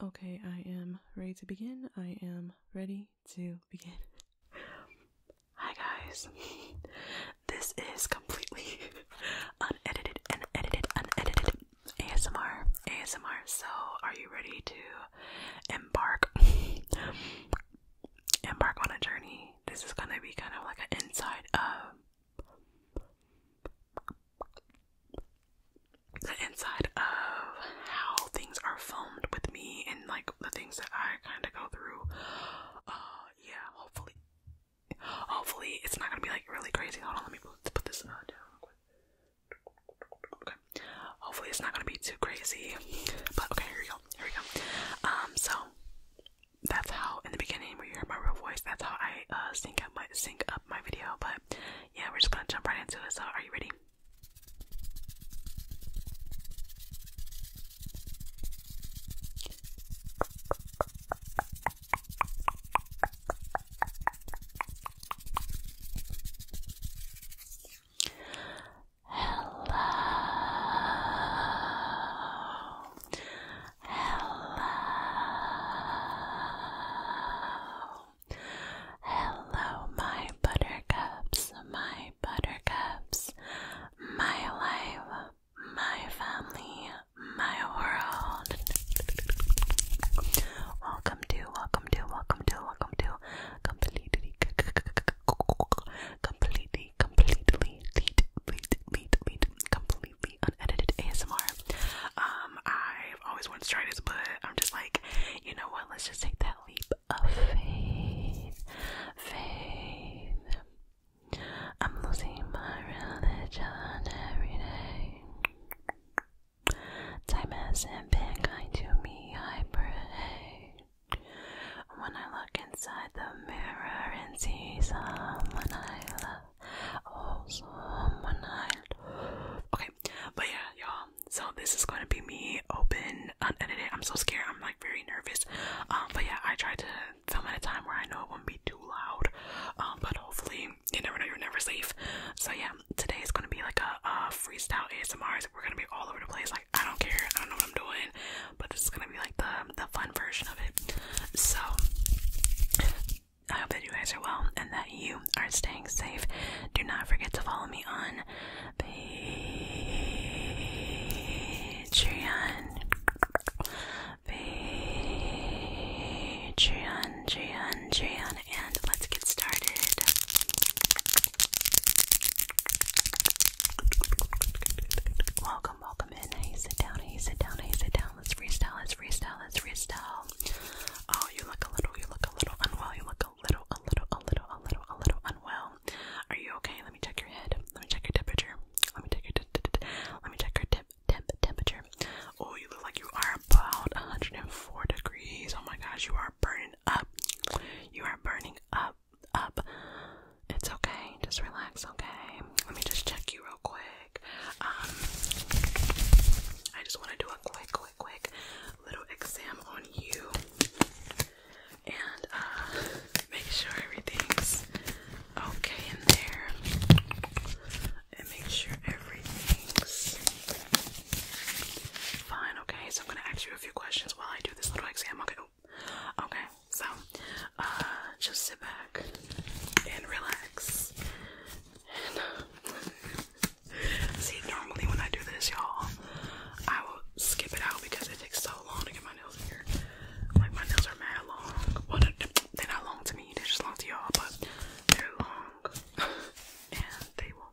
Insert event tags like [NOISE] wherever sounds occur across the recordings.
Okay, I am ready to begin. I am ready to begin. Hi, guys. [LAUGHS] this is completely [LAUGHS] unedited, unedited, unedited ASMR. ASMR. So, are you ready to embark embark on a journey. This is gonna be kind of like an inside of the inside of how things are filmed with me and like the things that I kind of go through. Uh, yeah, hopefully, hopefully it's not gonna be like really crazy. Hold on, let me put, this uh, down. Hopefully it's not gonna be too crazy. But okay, here we go. Here we go. Um, so that's how in the beginning where you hear my real voice, that's how I uh sync up my sync up my video. But yeah, we're just gonna jump right into it. So are you ready? Hello. Hello. Hello, my buttercups, my buttercups, my life, my family, my world. Welcome to, welcome to, welcome to, welcome to completely, completely, completely, lead, completely unedited ASMR. Um, I've always wanted to try this, but I'm just like, you know what? Let's just take that leap of faith, faith. I'm losing my religion every day. Time hasn't been kind to me, I pray. When I look inside the mirror and see someone I love, oh, someone I love. Okay, but yeah, y'all. So this is going to be me open, unedited. I'm so scared. I'm like very nervous. Um, but yeah, I tried to film at a time where I know it won't be too loud. Um, but hopefully, you never know. You're never safe. So yeah, um, today is gonna be like a, a freestyle ASMR. We're gonna be all over the place. Like I don't care. I don't know what I'm doing, but this is gonna be like the the fun version of it. So I hope that you guys are well and that you are staying safe. Do not forget to follow me on Patreon. Patreon, Patreon, Patreon, and let's get started. Welcome, welcome in. Hey, sit down, hey, sit down, hey, sit down. Let's freestyle, let's freestyle, let's freestyle. Oh, you look a little, you look a little unwell. You look a little, a little, a little, a little, a little unwell. Are you okay? Let me check your head. Let me check your temperature. Let me check your, let me check your tip, temp, temperature. Oh, you look like you are about 104 degrees. Oh my gosh, you are burning up. You are burning up, up. It's okay. Just relax, okay? Let me just check you real quick. Um, I just want to do a quick, quick, quick little exam on you and uh, make sure everything's okay in there. And make sure everything's Fine, okay, so I'm gonna ask you a few questions while I do this little exam, okay? Oh, okay, so, uh, just sit back and relax. [LAUGHS] see, normally when I do this, y'all, I will skip it out because it takes so long to get my nails in here. Like, my nails are mad long. Well, they're not long to me, they're just long to y'all, but they're long. [LAUGHS] and they will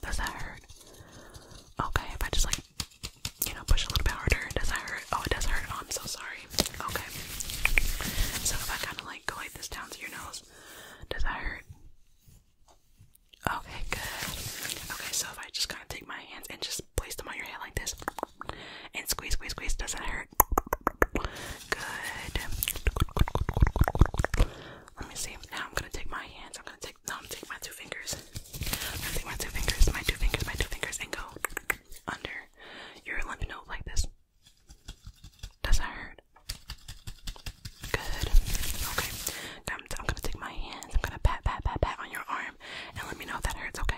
Does that hurt? Okay, if I just like, you know, push a little bit harder, does that hurt? Oh, it does hurt. Oh, I'm so sorry. Okay. So if I kind of like go like this down to your nose, does that hurt? Okay, good. Okay, so if I just kind of take my hands and just place them on your head like this and squeeze, squeeze, squeeze, does that hurt? Good. Let me see. Now I'm gonna take my hands. I'm gonna take no, I'm taking my two fingers. i gonna take my two fingers, my two fingers, my two fingers, and go under your lymph like this. Does that hurt? Good. Okay. I'm, I'm gonna take my hands. I'm gonna pat, pat, pat, pat on your arm, and let me know if that hurts. Okay.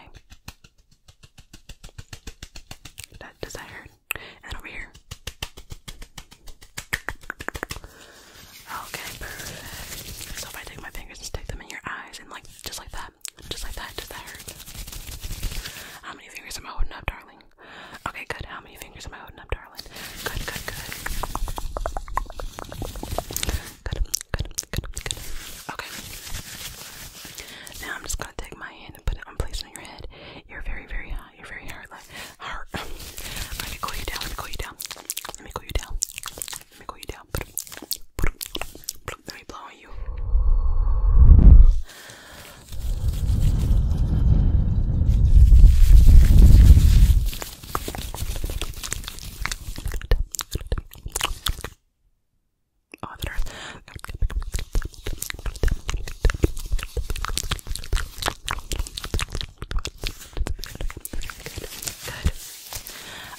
does that hurt? And over here. Okay, perfect. So if I take my fingers and stick them in your eyes and like just like that, just like that, does that How many fingers am I holding up, darling? Okay, good. How many fingers am I holding up, darling? Good, good, good. Good, good, good, good. Okay. Now I'm just gonna take my hand and put it on place on your head. You're very, very You're very hard heart. [SIGHS] Let me cool you down. Let me cool you down. Let me cool you down. Let me cool you down. Let me blow on you. Oh, the earth.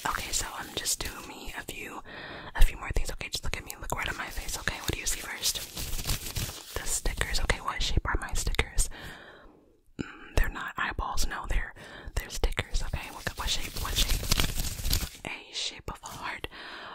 Okay, so I'm just doing me a few, a few more things. Okay, just look at me. Look right at my face. Okay, what do you see first? The stickers. Okay, what shape are my stickers? Mm, they're not eyeballs. No, they're they're stickers. Okay, what, what shape? What shape? A shape of a heart.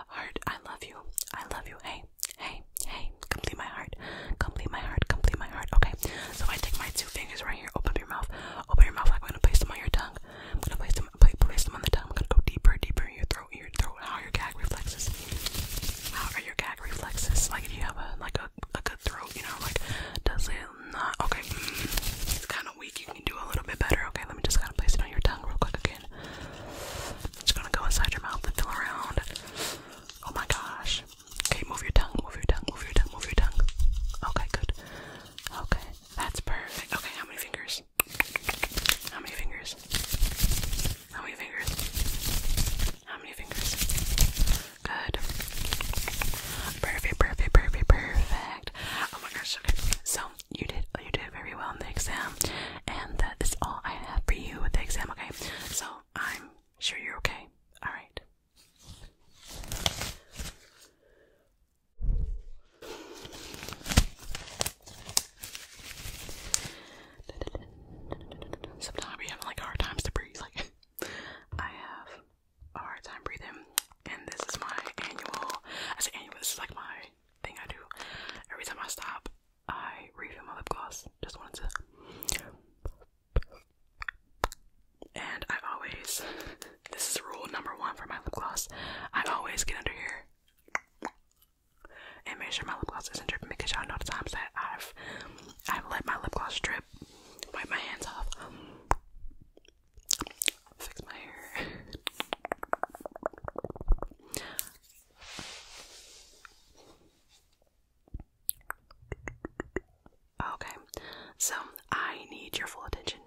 Heart. I love you. I love you. Hey, hey, hey. Complete my heart. Complete my heart. Complete my heart. Okay. So I take my two fingers right here. Open up your mouth. Open your mouth. I'm gonna place them on your tongue. I'm gonna place them. Place them on the tongue. I'm gonna go deeper, deeper in your throat. Your throat. How are your gag reflexes? How are your gag reflexes? Like do you have a like a, good throat, you know, like does it not? Okay. Mm, it's kind of weak. You can do a little bit better. Okay. Let me just kind of place it on your tongue real quick again. It's gonna go inside your mouth and feel around. Oh my gosh. Okay, move your tongue, move your tongue, move your tongue, move your tongue. Okay, good. Okay, that's perfect. Okay, how many fingers? How many fingers? How many fingers? How many fingers? Good. Perfect, perfect, perfect, perfect. Oh my gosh, okay. So you did you did very well in the exam. And that is all I have for you with the exam, okay? So I'm sure you're okay. Alright. Sometimes we have like hard times to breathe. Like [LAUGHS] I have a hard time breathing, and this is my annual. I say annual. This is like my thing I do. Every time I stop, I refill my lip gloss. Just wanted to and I always, this is rule number one for my lip gloss, I always get under here and make sure my lip gloss isn't dripping because y'all know the times that I've I've let my lip gloss drip, wipe my hands off, fix my hair. Okay, so I need your full attention.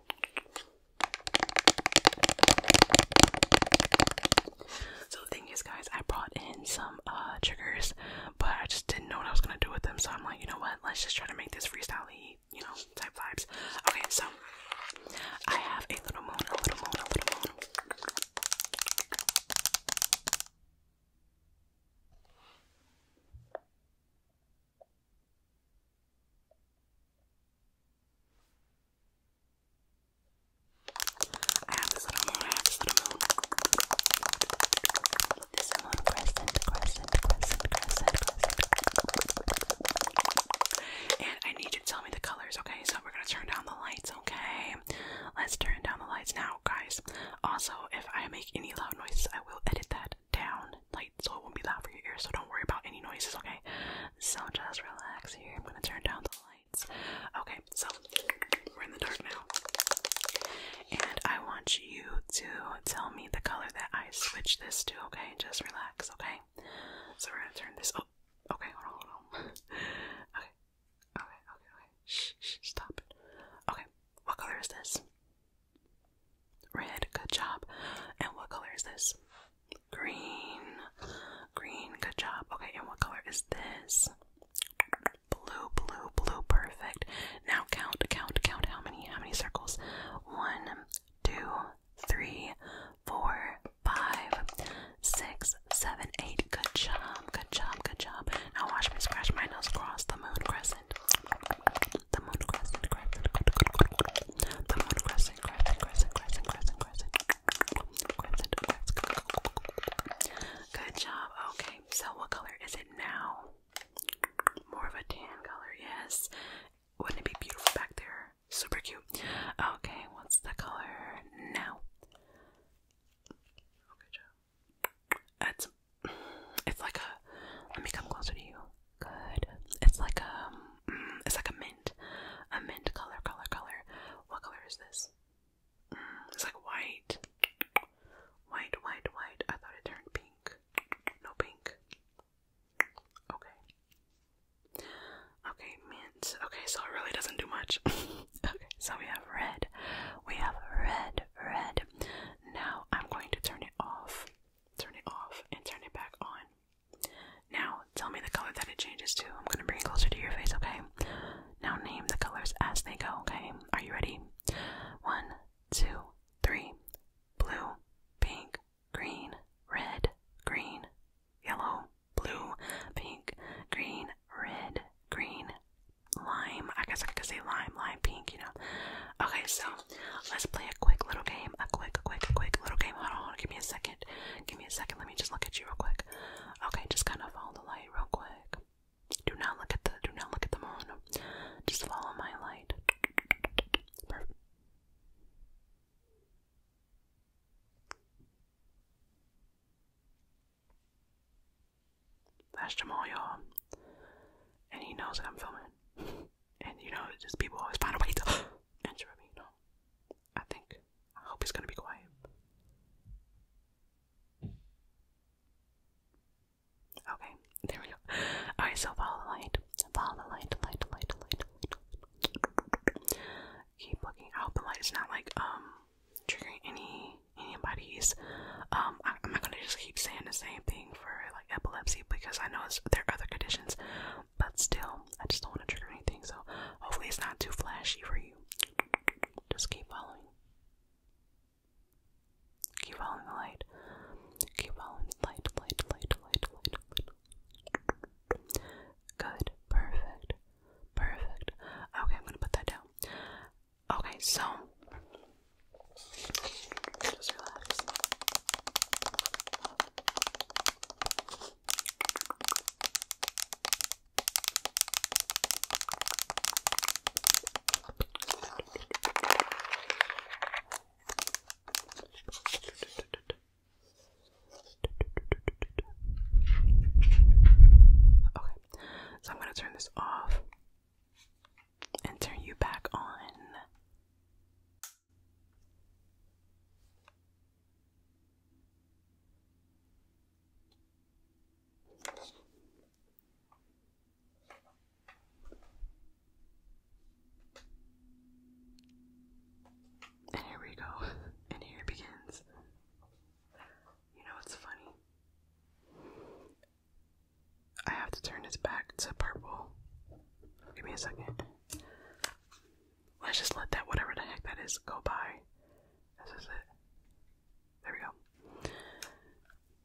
So the thing is, guys, I brought in some uh, triggers, but I just didn't know what I was gonna do with them. So I'm like, you know what? Let's just try to make this freestyle you know, type vibes. Okay, so I have a little moon, a little moon, a little moon. I have this little moon, I have this little moon. This moon crescent, crescent, crescent, crescent, crescent. And I need you to tell me the colors, okay? So we're gonna turn down the lights, okay? Let's turn down the lights now, guys. Also, if I make any loud noises, I will edit that down, like so it won't be loud for your ears. So don't worry about any noises, okay? So just relax here. I'm gonna turn down the lights. Okay, so we're in the dark now, and I want you to tell me the color that I switch this to. Okay, just relax. Okay, so we're gonna turn this. Oh, okay, hold on, hold on. [LAUGHS] okay, Okay, okay, okay. Shh, stop it. Okay, what color is this? Red, good job. And what color is this? Green. Green, good job. Okay, and what color is this? Blue, blue, blue, perfect. Now count, count, count how many, how many circles? One, two, three, four, five, six, seven, eight. Good job job, good job, good job. Now watch me scratch my nose across the moon crescent. The moon crescent, crescent, crescent. The moon crescent, crescent, crescent, crescent, crescent, crescent. Crescent, crescent. Good job. Okay, so what color is it now? More of a tan color, yes. Wouldn't it be beautiful back there? Super cute. Okay, what's the color now? Okay, job. It's it's like a. Let me come closer to you. Good. It's like a. Um, mm, it's like a mint, a mint color, color, color. What color is this? Mm, it's like white, white, white, white. I thought it turned pink. No pink. Okay. Okay, mint. Okay, so it really doesn't do much. [LAUGHS] so we have red. We have red, red. Now I'm going to turn it off, turn it off, and turn it back on. Now tell me the color that it changes to. I'm gonna bring it closer to your face, okay? Now name the colors as they go, okay? Are you ready? One, two, three. Blue, pink, green, red, green, yellow, blue, pink, green, red, green, lime. I guess I could say lime, lime pink, you know. Okay, so let's play a quick little game. A quick, quick, quick little game. Hold on, hold on. Give me a second. Give me a second. Let me just look at you real quick. Okay, just kind of follow the light real quick. Do not look at the. Do not look at the moon. Just follow my light. Perfect. That's Jamal, y'all. And he knows that I'm filming. [LAUGHS] and you know, just people always find a way to interrupt [GASPS] me, you I think. I hope he's gonna be quiet. Okay, there we go. Alright, so follow the light. Follow the light, light, light, light, Keep looking out. The light is not like um triggering any anybody's um I, i'm not gonna just keep saying the same thing for like epilepsy because i know it's, there are other conditions but still i just don't want to trigger anything so hopefully it's not too flashy for you just keep following keep following the light keep following the light light light light light, light. good perfect perfect okay i'm gonna put that down Okay, so Okay, so I'm going to turn this off and turn you back on. And here we go, and here it begins. You know what's funny? I have to turn this back to purple. Give me a second. Let's just let that, whatever the heck that is, go by. This is it. There we go.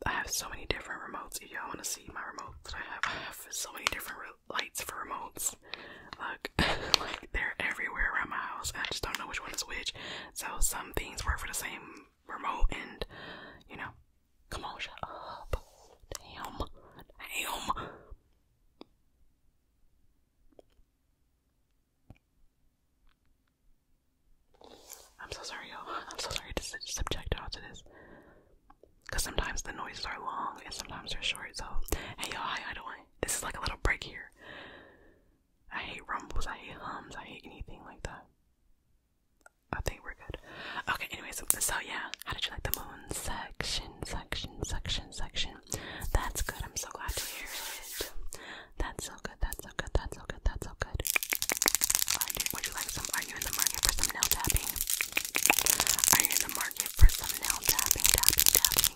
I have so many different remotes. y'all want to see my remotes that I have, I so many different lights for remotes. Look, [LAUGHS] like they're everywhere around my house. I just don't know which one is which. So some things work for the same remote and you know come on shut up damn damn I'm so sorry y'all I'm so sorry to subject y'all to this cause sometimes the noises are long and sometimes they're short so hey y'all how y'all doing this is like a little break here I hate rumbles I hate hums I hate anything like that I think we're good. Okay, anyway, so, so yeah, how did you like the moon section, section, section, section? That's good. I'm so glad to hear it. That's so good. That's so good. That's so good. That's so good. Are you, would you like some? Are you in the market for some nail tapping? Are you in the market for some nail tapping? Tapping, tapping.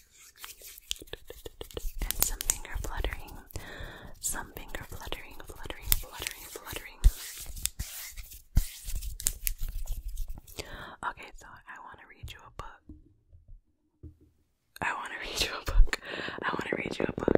And some finger fluttering. Some finger fluttering, fluttering, fluttering, fluttering. Okay, so I want to read you a book. I want to read you a book. I want to read you a book.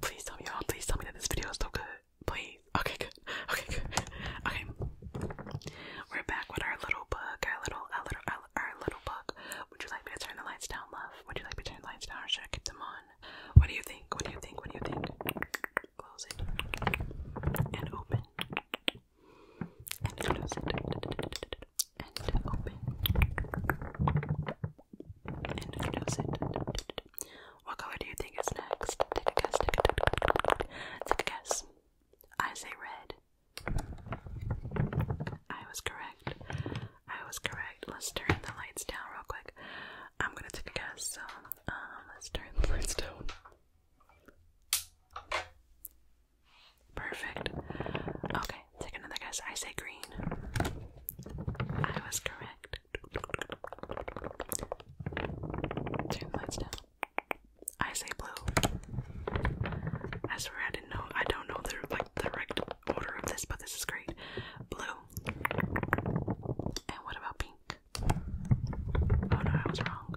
Please tell me y'all, please tell me that this video is still good. Please. Okay, good. Okay, good. Okay. We're back with our little book, our little our little our, little book. Would you like me to turn the lights down, love? Would you like me to turn the lights down should I keep them on? What do you think? What do you think? What do you think? Close And open and close it and open and close it. What color do you think is next? Take a guess, take a, guess. I say red. I was correct. I was correct. Let's turn the lights down real quick. I'm gonna take a guess, so um, let's turn the lights down. Perfect. Okay, take another guess. I say green. I was correct. Turn lights down. I say blue. I swear I didn't know. I don't know the like the order of this, but this is great. Blue. And what about pink? Oh no, I was wrong.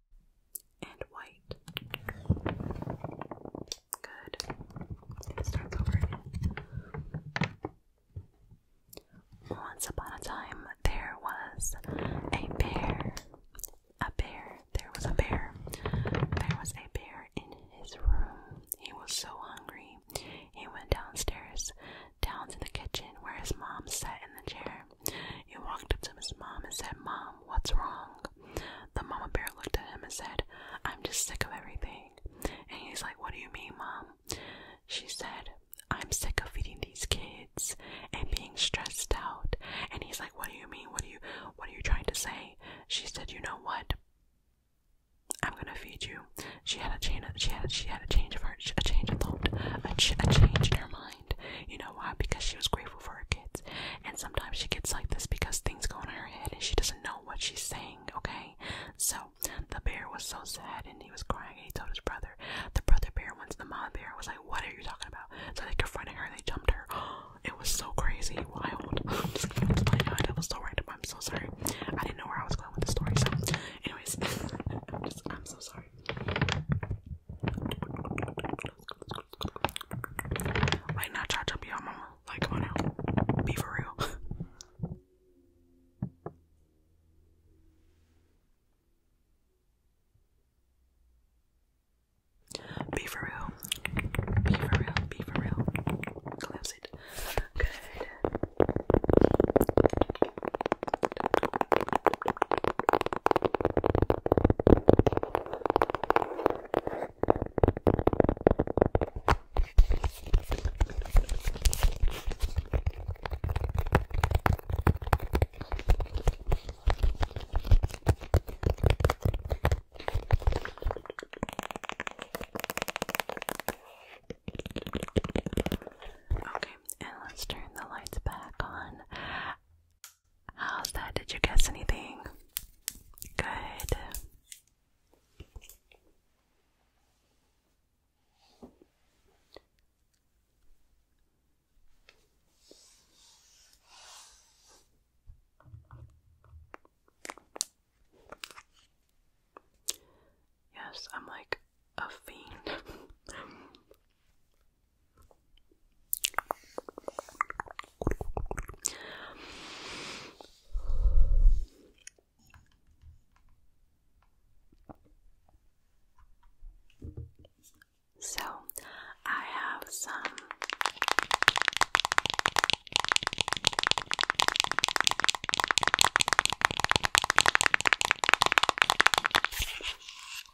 and white. Good. It over Once upon a time, there was a bear. A bear. There was a bear. There was a bear in his room. He was so hungry. He went downstairs, down to the kitchen where his mom sat in the chair. He walked up to his mom and said, Mom, what's wrong? The mama bear looked at him and said, I'm just sick of everything. And he's like, What do you mean, Mom? She said, I'm sick of feeding these kids and being stressed out. And he's like, What do you mean? What do you what are you trying to say? She said, You know what? I'm gonna feed you. She had a change. She had. She had a change of her. A change of thought. a change in her mind. You know why? Because she was grateful for her kids. And sometimes she gets like this because things go in her head and she doesn't know what she's saying, okay? So the bear was so sad and he was crying and he told his brother. The brother bear went to the mom bear and was like, What are you talking about? So they confronted her and they jumped her. [GASPS] It was so crazy, wild. [LAUGHS] I'm just kidding, I'm God, that was so random. I'm so sorry. I didn't know where I was going with the story, so anyways, [LAUGHS] I'm so sorry. Wait, not charge up your mama. Like, come oh, on now. Be for real. [LAUGHS] Be for real. Be for real. Be for real. Collapse it. Good. Okay, and let's turn the lights back on. How's that? Did you guess anything? Good. Yes, I'm like a fiend. [LAUGHS] So, I have some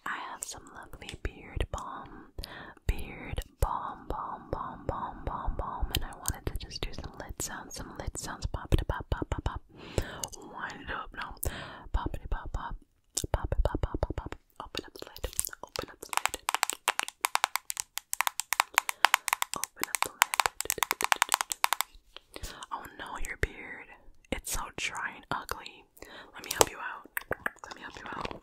I have some lovely beard balm, beard balm, balm, balm, balm, balm, balm, and I wanted to just do some lid sounds, some lid sounds, pop it, pop, pop, pop, pop, wind it up, no, pop it, pop, pop, pop it, pop, pop, pop, pop, open up the lid, open up the lid, open up the lid. Oh no, your beard, it's so dry and ugly. Let me help you out. Let me help you out.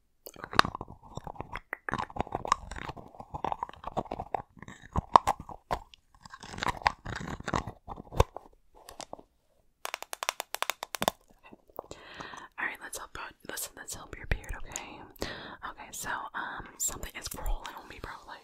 All right, let's help. listen, let's help your beard, okay? Okay, so um, something is crawling on me, probably.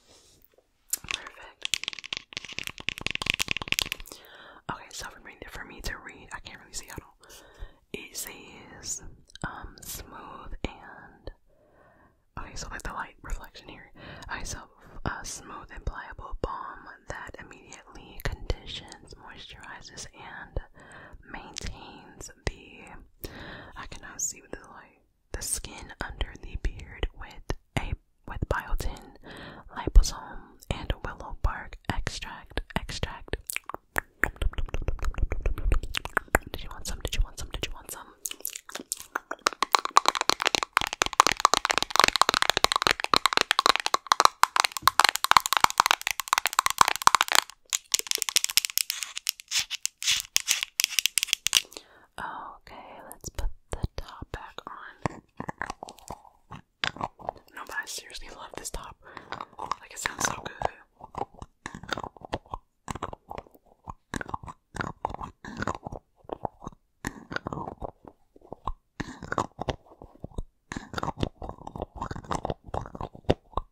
Perfect. Okay, so for me to read, I can't really see at all. It says um smooth and okay, so like the light reflection here. Okay, so a uh, smooth and pliable balm that immediately conditions, moisturizes, and maintains the. I cannot see with the light the skin under the beard with a with biotin, liposome, and willow bark extract. Extract. Did you want some? Did you want some? Did you want some? Okay, let's put the top back on. No, but I seriously love this top. Like, it sounds so good.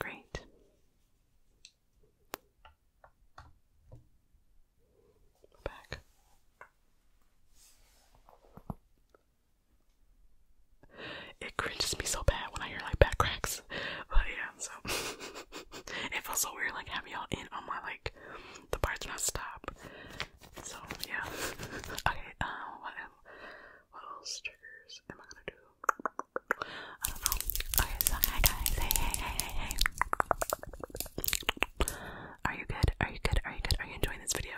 Great. Back. It cringes me so bad when I hear like back cracks. But yeah, so [LAUGHS] it feels so weird like having y'all in on my like the parts not I stop. So yeah. [LAUGHS] okay, um what what else triggers am I gonna do? I don't know. Okay, so hi guys. Hey, hey, hey, hey, hey. Are you good? Are you good? Are you good? Are you enjoying this video?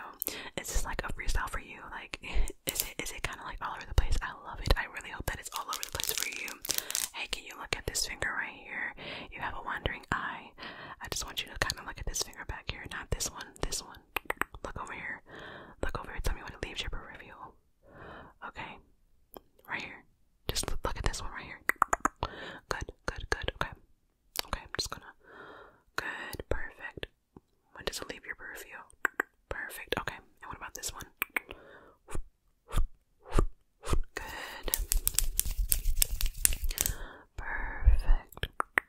Is this like a freestyle for you? Like, [LAUGHS] is it is it kind of like all over the place? I love it. I really hope that it's all over the place for you. Hey, can you look at this finger right here? You have a wandering eye. I just want you to kind of look at this finger back here, not this one, this one. Look over here. Look over here. Tell me when it leaves your review. Okay. Right here. Just look at this one right here. Good, good, good. Okay. Okay, I'm just gonna. Good, perfect. When does it leave your review? Perfect. Okay. And what about this one? Good. Perfect.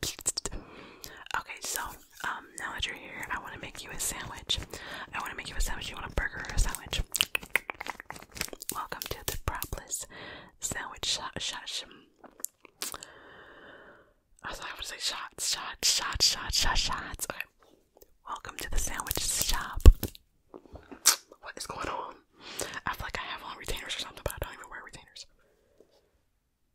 Okay, so um, now that you're here, I want to make you a sandwich. I want to make you a sandwich. You want a burger or a sandwich? Welcome to the propless sandwich shot shot. Sh I thought I would say shots, shots, shots, shots, shots, shots. Okay. Welcome to the sandwich shop. What is going on? I feel like I have on retainers or something, but I don't even wear retainers.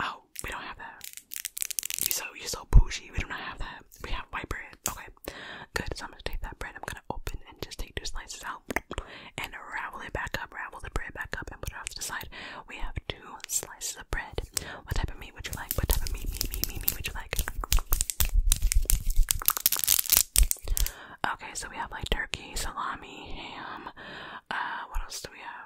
Oh, we don't have that. You so you so bougie. We don't have that. We have white bread. Okay, good. So I'm gonna take that bread. I'm gonna open and just take two slices out and ravel it back up. Ravel the bread back up and put it off to the side. We have two slices of bread. What type of meat would you like? What type of meat, meat, meat, meat, meat would you like? Okay, so we have like turkey, salami, ham. Uh, what else do we have?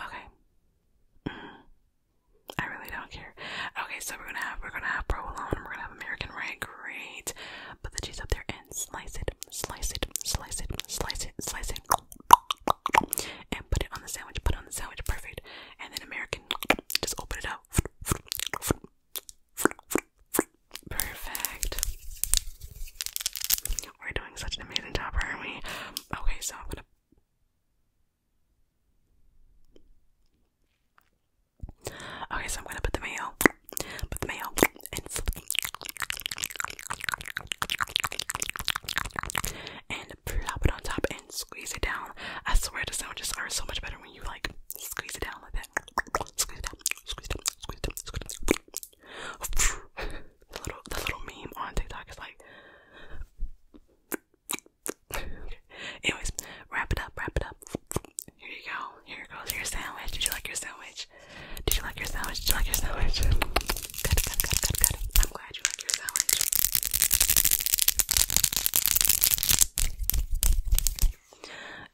Okay. Mm. I really don't care. Okay, so we're gonna have we're gonna have provolone and we're gonna have American right? Great. Put the cheese up there and slice it, slice it, slice it, slice it, slice it, and put it on the sandwich. Put it on the sandwich. Perfect. And then American, just open it up. Perfect. We're doing such an amazing job, aren't we? Okay, so I'm gonna. Okay, so I'm gonna put the mayo, put the mayo, and plop it on top and squeeze it down. I swear the sandwiches are so much better when you like squeeze it down like that. Squeeze it down, squeeze it down, squeeze it down, squeeze it down, the little the little meme on TikTok is like Anyways, wrap it up, wrap it up. Here you go. Here goes your sandwich. Did you like your sandwich? Did you like your sandwich? Did you like your sandwich? Good, good, good, good, good. I'm glad you like your sandwich.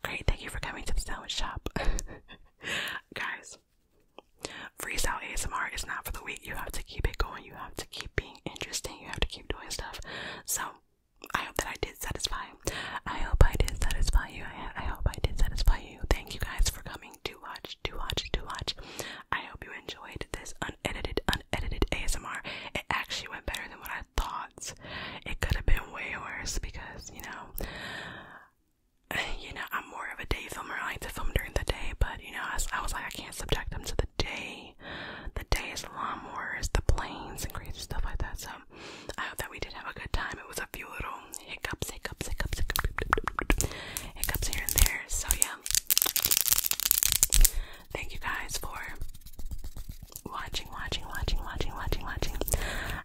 Great, thank you for coming to the sandwich shop. [LAUGHS] Guys, Free Freestyle ASMR is not for the weak. You have to keep it going. You have to keep being interesting. You have to keep doing stuff. So I hope that I did satisfy. I hope I did satisfy you. I hope I did satisfy you. Thank you guys for coming to watch, to watch, to watch. I hope you enjoyed this unedited, unedited ASMR. It actually went better than what I thought. It could have been way worse because, you know, [SIGHS] you know, I'm more of a day filmer. I like to film during the day, but you know, I, was like, I can't subject them to the day. The day is lawnmowers, the planes, and crazy stuff like that. So I hope that we did have a good time. It was a few little hiccups, hiccups, hiccups, hiccups, hiccups here and there. So yeah, thank you guys for watching, watching, watching, watching, watching, watching.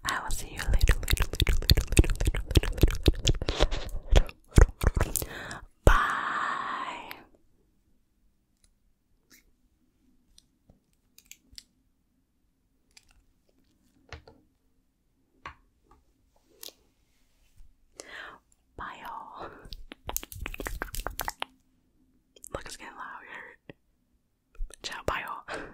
I will see see you later, later, later, later, later, later, later, later, later, later. Bye. Bye, all. Look, getting louder. Ciao, bye, all.